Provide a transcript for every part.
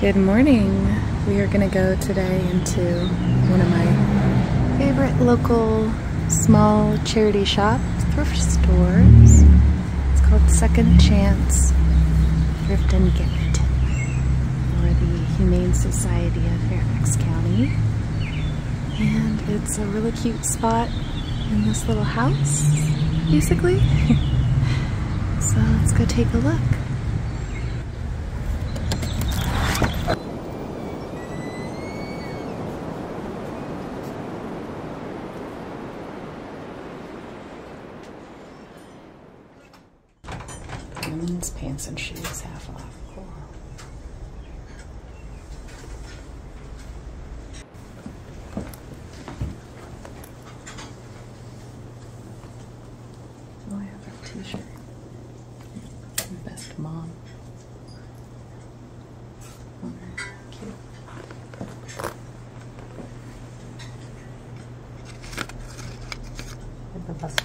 Good morning. We are going to go today into one of my favorite local small charity shop thrift stores. It's called Second Chance Thrift and Gift for the Humane Society of Fairfax County. And it's a really cute spot in this little house, basically. so let's go take a look. Women's pants and shoes half off. Oh, I have a t-shirt. Best mom. cute. I have a bust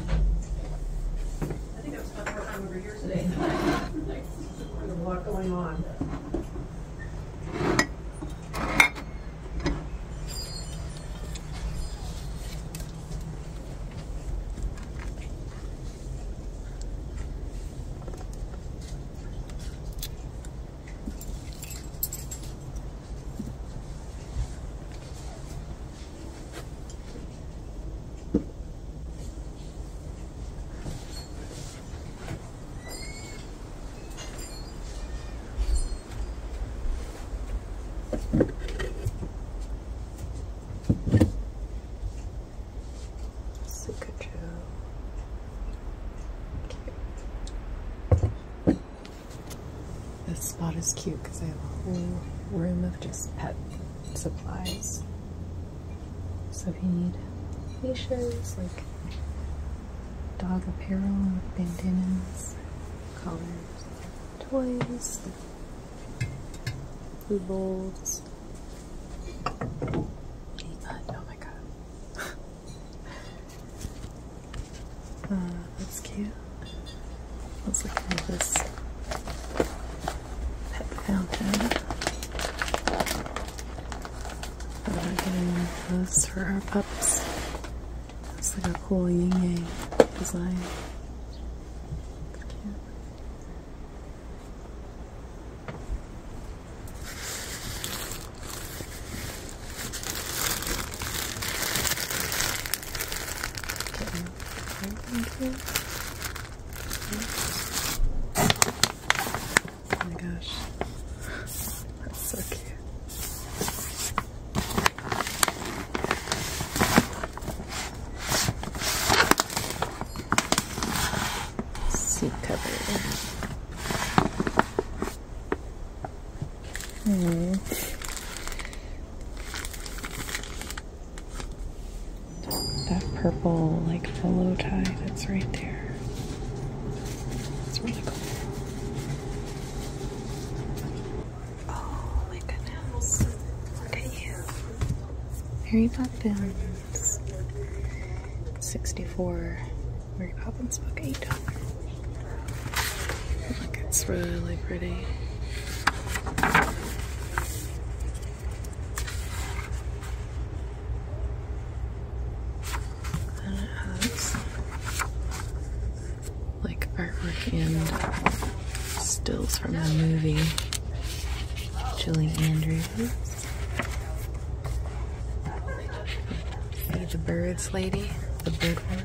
I think I've was spent more time over here today there's a lot going on. Pikachu. Okay. This spot is cute because I have a whole room of just pet supplies. So we need leashes, like dog apparel, bandanas, collars, toys, food bowls, uh, oh my god. Uh, that's cute. Let's look at this pet fountain. Uh, getting those for our pups. It's like a cool yin yang design. Oh my gosh. That's so cute. Seat cover. Hmm. That purple, like, polo tie that's right there. That's really cool. Oh my goodness. Look at you. Harry Poppins. 64 Mary Poppins book, eight dollars. Look, oh it's really pretty. And it has like artwork and stills from the movie. Julie Andrews the birds, lady? The big one.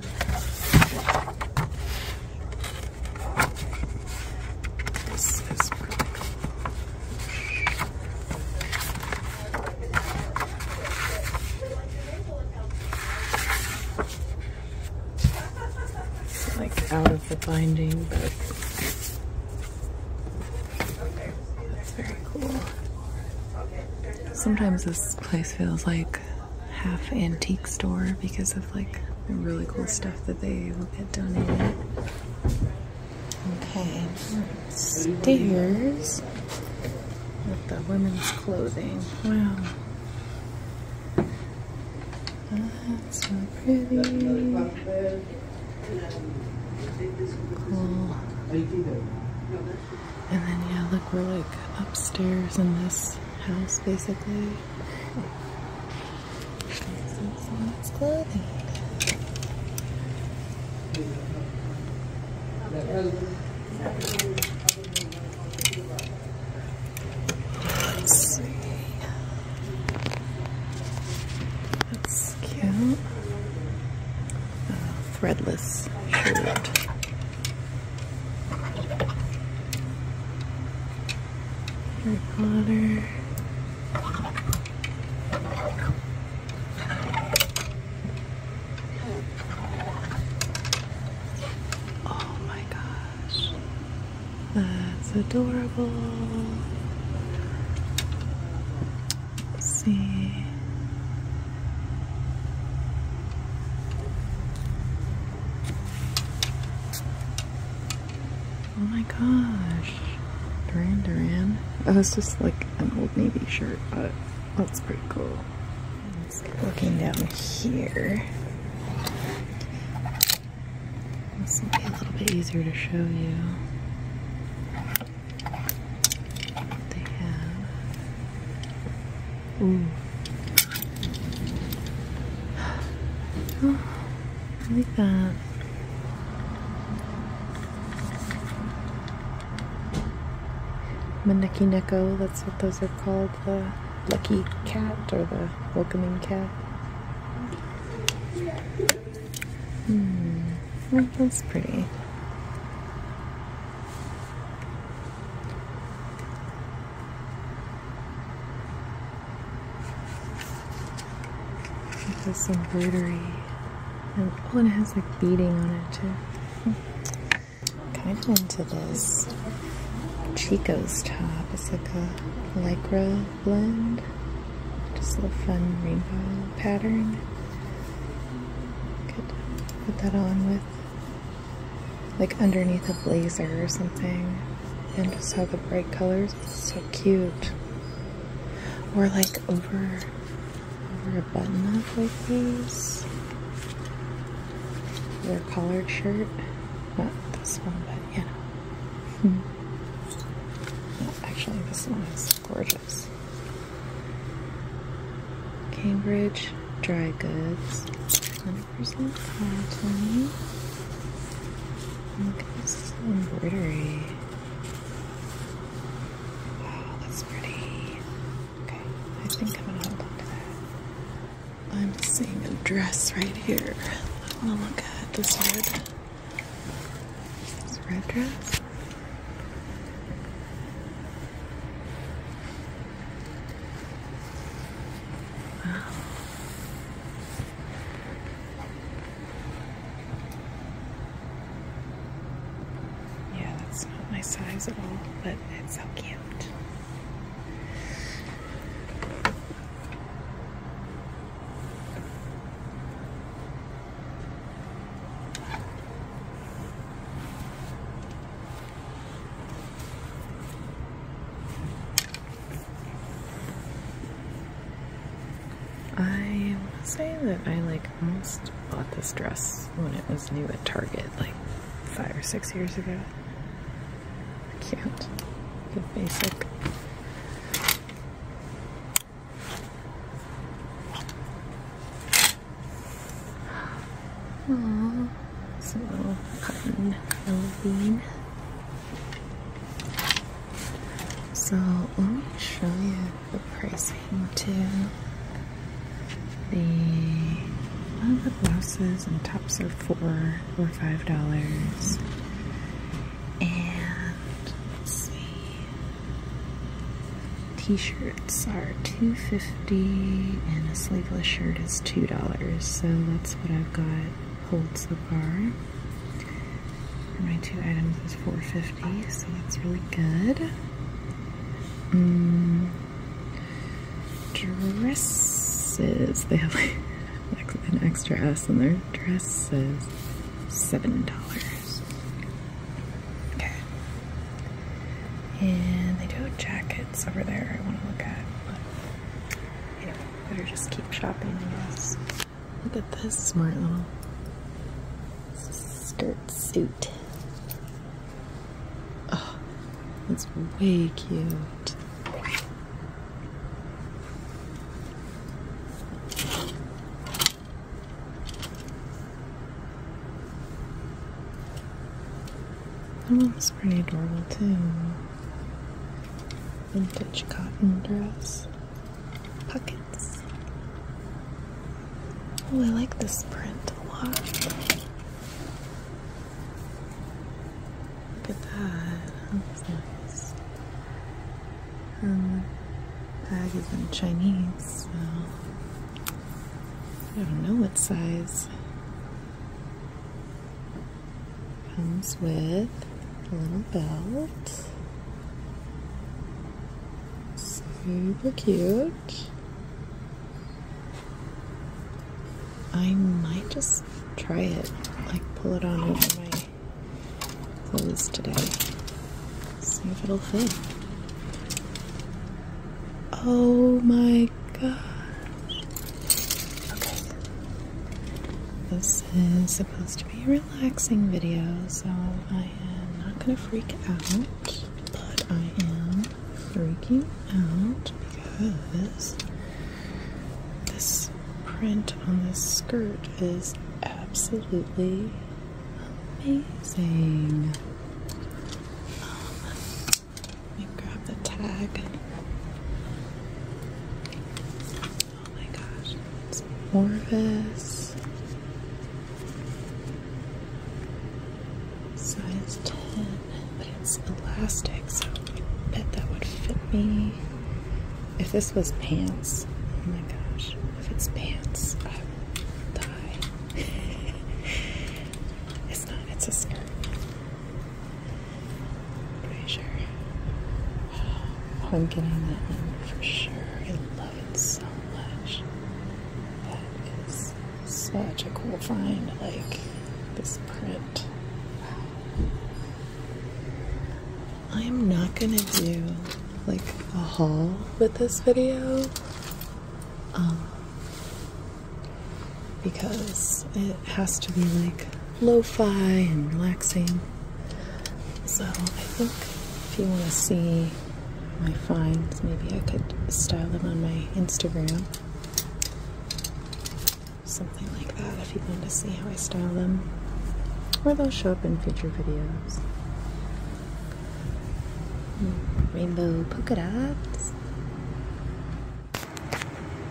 like out of the binding, but that's very cool. Sometimes this place feels like half antique store because of like the really cool stuff that they will get donated. Okay, stairs with the women's clothing. Wow. That's so pretty. Cool. And then, yeah, look, we're like upstairs in this house, basically. Let's see. That's cute threadless shirt. Oh my gosh. That's adorable see. Oh my gosh. Duran Duran. That was just like an old navy shirt, but that's pretty cool. Looking down here. This will be a little bit easier to show you. They have. Ooh. Oh, look at that. Maneki Neko, that's what those are called. The lucky cat or the welcoming cat. Hmm. that's pretty. It has some embroidery. And, oh, and it has like beading on it too. Kind hmm. of into this Chico's top. It's like a lycra blend. Just a fun rainbow pattern. Could put that on with like underneath a blazer or something and just have the bright colors. It's so cute. Or like over over a button up like these. Their collared shirt. Not this one, but you know. actually this one is gorgeous. Cambridge dry goods, 100% cotton. Look at this embroidery. Wow, that's pretty. Okay, I think I'm gonna hold on to that. I'm seeing a dress right here. I wanna look at this red red dress. Yeah, that's not my size at all, but it's so cute. I will say that I like almost bought this dress when it was new at Target like five or six years ago. Cute. the basic. Aww, cotton Halloween. So let me show you the pricing too. The one the blouses and tops are four or five dollars. And see. T-shirts are $2.50 and a sleeveless shirt is $2. So that's what I've got Holds the bar. my two items is $4.50, so that's really good. Um, dresses. They have like an extra S in there dresses, seven dollars. Okay. And they do jackets over there I want to look at, but you know, better just keep shopping, I guess. Look at this smart little skirt suit. Oh, that's way cute. That one's pretty adorable too. Vintage cotton dress. Pockets. Oh, I like this print a lot. Look at that. That's nice. Um, bag is in Chinese, so I don't know what size. Comes with a little belt. Super cute. I might just try it, like pull it on over my clothes today. See if it'll fit. Oh my gosh. Okay. This is supposed to be a relaxing video, so I am not gonna freak out, but I am freaking out because this print on this skirt is absolutely amazing. Um, let me grab the tag. Oh my gosh, it's Orvis. Size 10, but it's elastic, so I bet that would fit me. If this was pants, oh my gosh, if it's pants, I will die. it's not, it's a skirt. Pretty oh, I'm getting that one for sure. I love it so much. That is such a cool find. Like this print. Wow. I am not gonna do like a haul with this video um, because it has to be like lo-fi and relaxing. So I think if you want to see my finds, maybe I could style them on my Instagram something like that oh, if you want to see how I style them. Or they'll show up in future videos. Hmm, rainbow polka dots.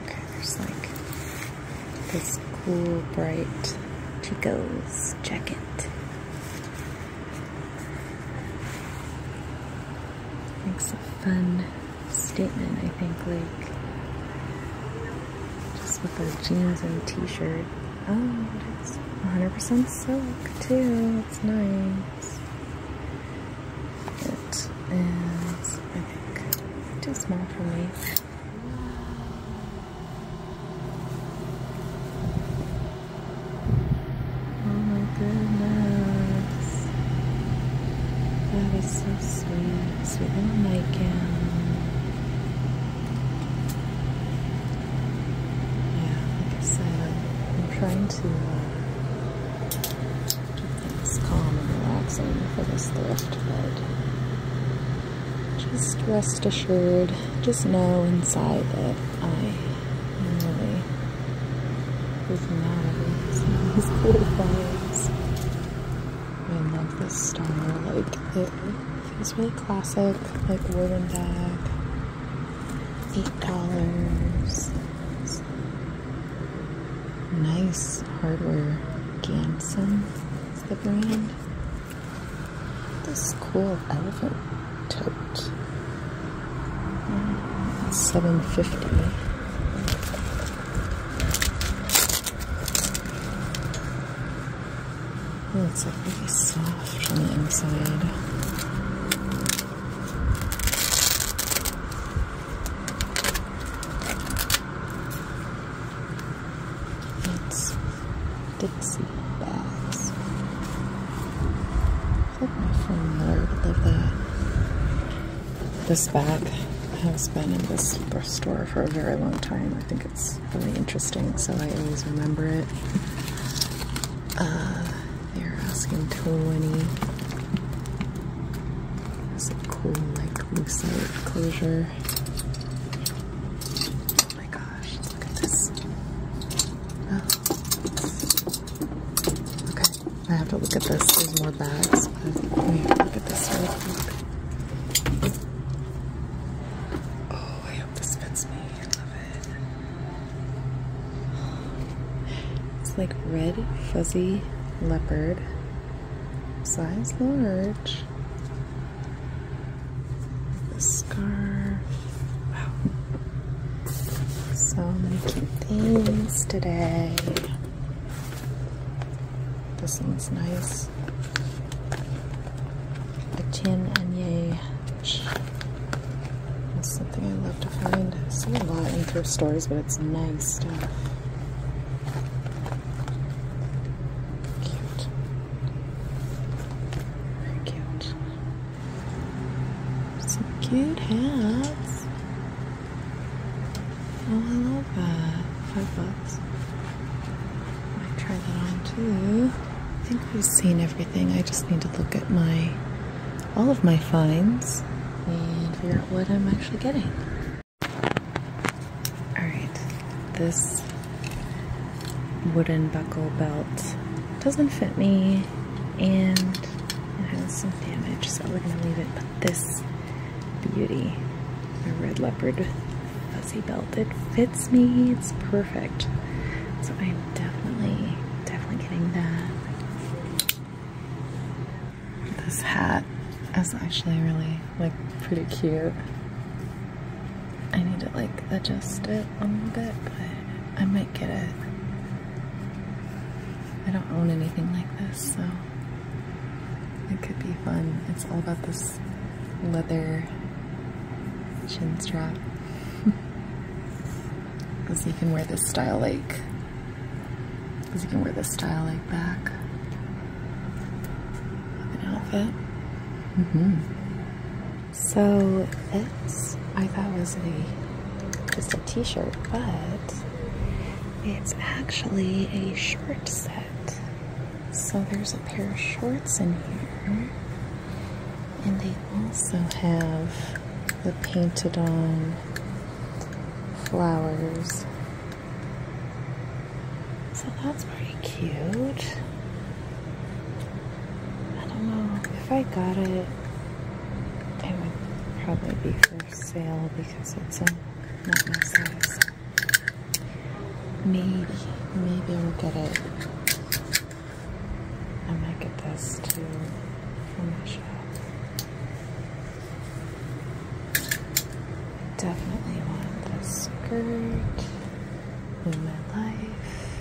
Okay, there's like this cool, bright Chico's jacket. Makes it fun statement, I think, like just with the jeans and t-shirt. Oh, it's 100% silk too. It's nice. It is, I think, too small for me. Oh my goodness. That is sweet, sweet little nightgown. Yeah, like I said, I'm trying to uh, keep things calm and relaxing for this thrift. but just rest assured, just know inside that I am really freaking out of these cool vibes. I love this style. Like it feels really classic, like wooden bag. Eight dollars. Nice hardware. Ganson is the brand. This cool elephant tote. 750 Ooh, it's like really soft on the inside. It's Dixie bags. I hope my friend Miller would love that. This bag has been in this store for a very long time. I think it's really interesting, so I always remember it. Uh, they're asking 20. It's a cool, like, lucite closure. Oh my gosh, look at this. Oh. Okay. I have to look at this. There's more bags, look at this Oh, I hope this fits me. I love it. It's like red fuzzy leopard, size large. The scarf. Wow. So many cute things today. This one's nice. A Etienne Anier. That's something I love to find. I see a lot in thrift stores, but it's nice stuff. Cute. Very cute. Some cute hats. Oh, I love Five bucks. Might try that on too. I think we've seen everything. I just need to look at my all of my finds and figure out what I'm actually getting. Alright, this wooden buckle belt doesn't fit me and it has some damage, so we're gonna leave it this beauty. A red leopard fuzzy belt. It fits me. It's perfect. So I'm definitely, definitely getting that. This hat is actually really like pretty cute. I need to like adjust it a little bit, but I might get it. I don't own anything like this, so it could be fun. It's all about this leather chin strap. Because you can wear this style like, because you can wear this style like back of an outfit. Mm -hmm. So it's I thought was a just a t-shirt, but it's actually a short set. So there's a pair of shorts in here. And they also have the painted on flowers. So that's pretty cute. I don't know. If I got it, it would probably be for sale because it's a, not my size. Maybe, maybe I'll get it. I might get this too from my shop. Definitely want this skirt in my life.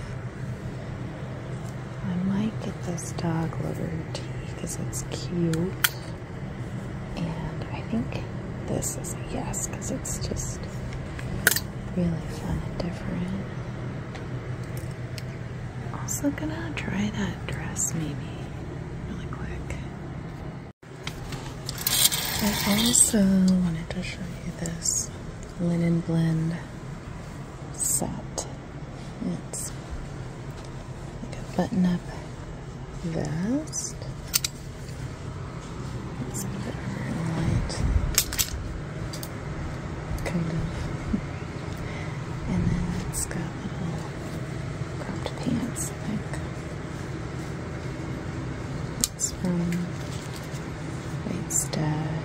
I might get this dog lover tee because it's cute. And I think this is a yes because it's just really fun and different. Also gonna try that dress maybe really quick. I also wanted to show you this linen blend set it's like a button up vest. It's a bit light, kind of. And then it's got little cropped pants, like it's from White Stag.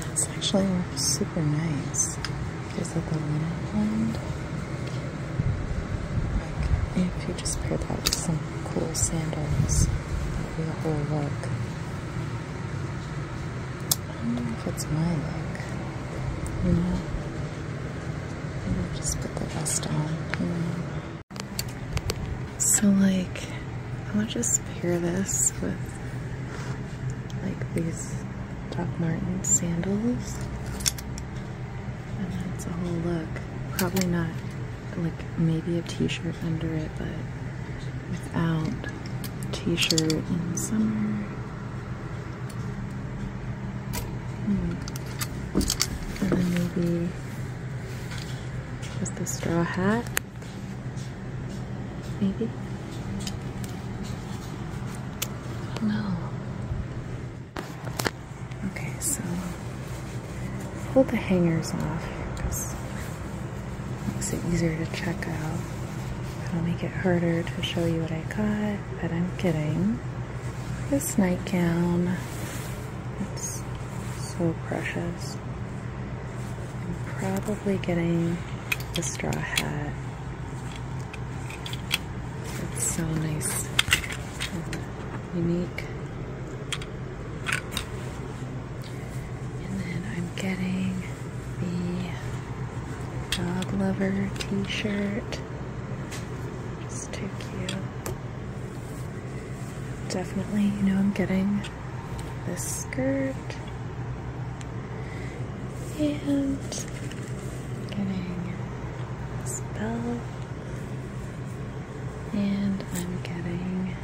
That's actually super nice because like a linen blend. Like if you just pair that with some cool sandals, it will be a whole look. I don't know if it's my look, you know? Maybe just put the rest on, So like, I want to just pair this with like these Doc Martens sandals. And that's a whole look. Probably not like maybe a t-shirt under it, but without a shirt in summer. Hmm. And then maybe just the straw hat. Maybe? No. Okay, so pull the hangers off because it makes it easier to check out. It'll make it harder to show you what I got, but I'm kidding. This nightgown, it's so precious. I'm probably getting the straw hat. It's so nice and unique. And then I'm getting the dog lover t-shirt. It's too cute. Definitely, you know, I'm getting the skirt and getting this bell and I'm getting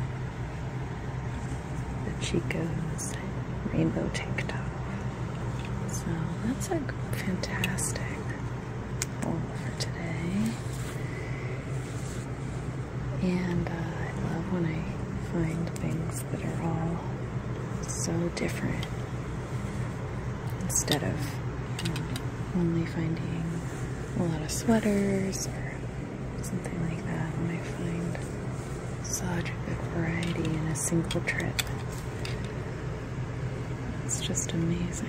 the Chico's rainbow tank top. So that's a fantastic haul for today. And uh, I love when I find things that are all so different instead of um, only finding a lot of sweaters or something like that. When I find such a good variety in a single trip, it's just amazing.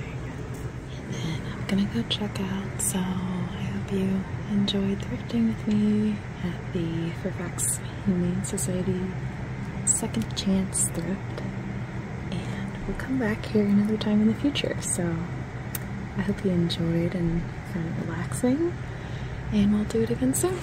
And then I'm gonna go check out, so I hope you enjoyed crafting with me at the Fairfax Humane Society Second Chance Thrift. And we'll come back here another time in the future. So I hope you enjoyed and found it relaxing. And we'll do it again soon.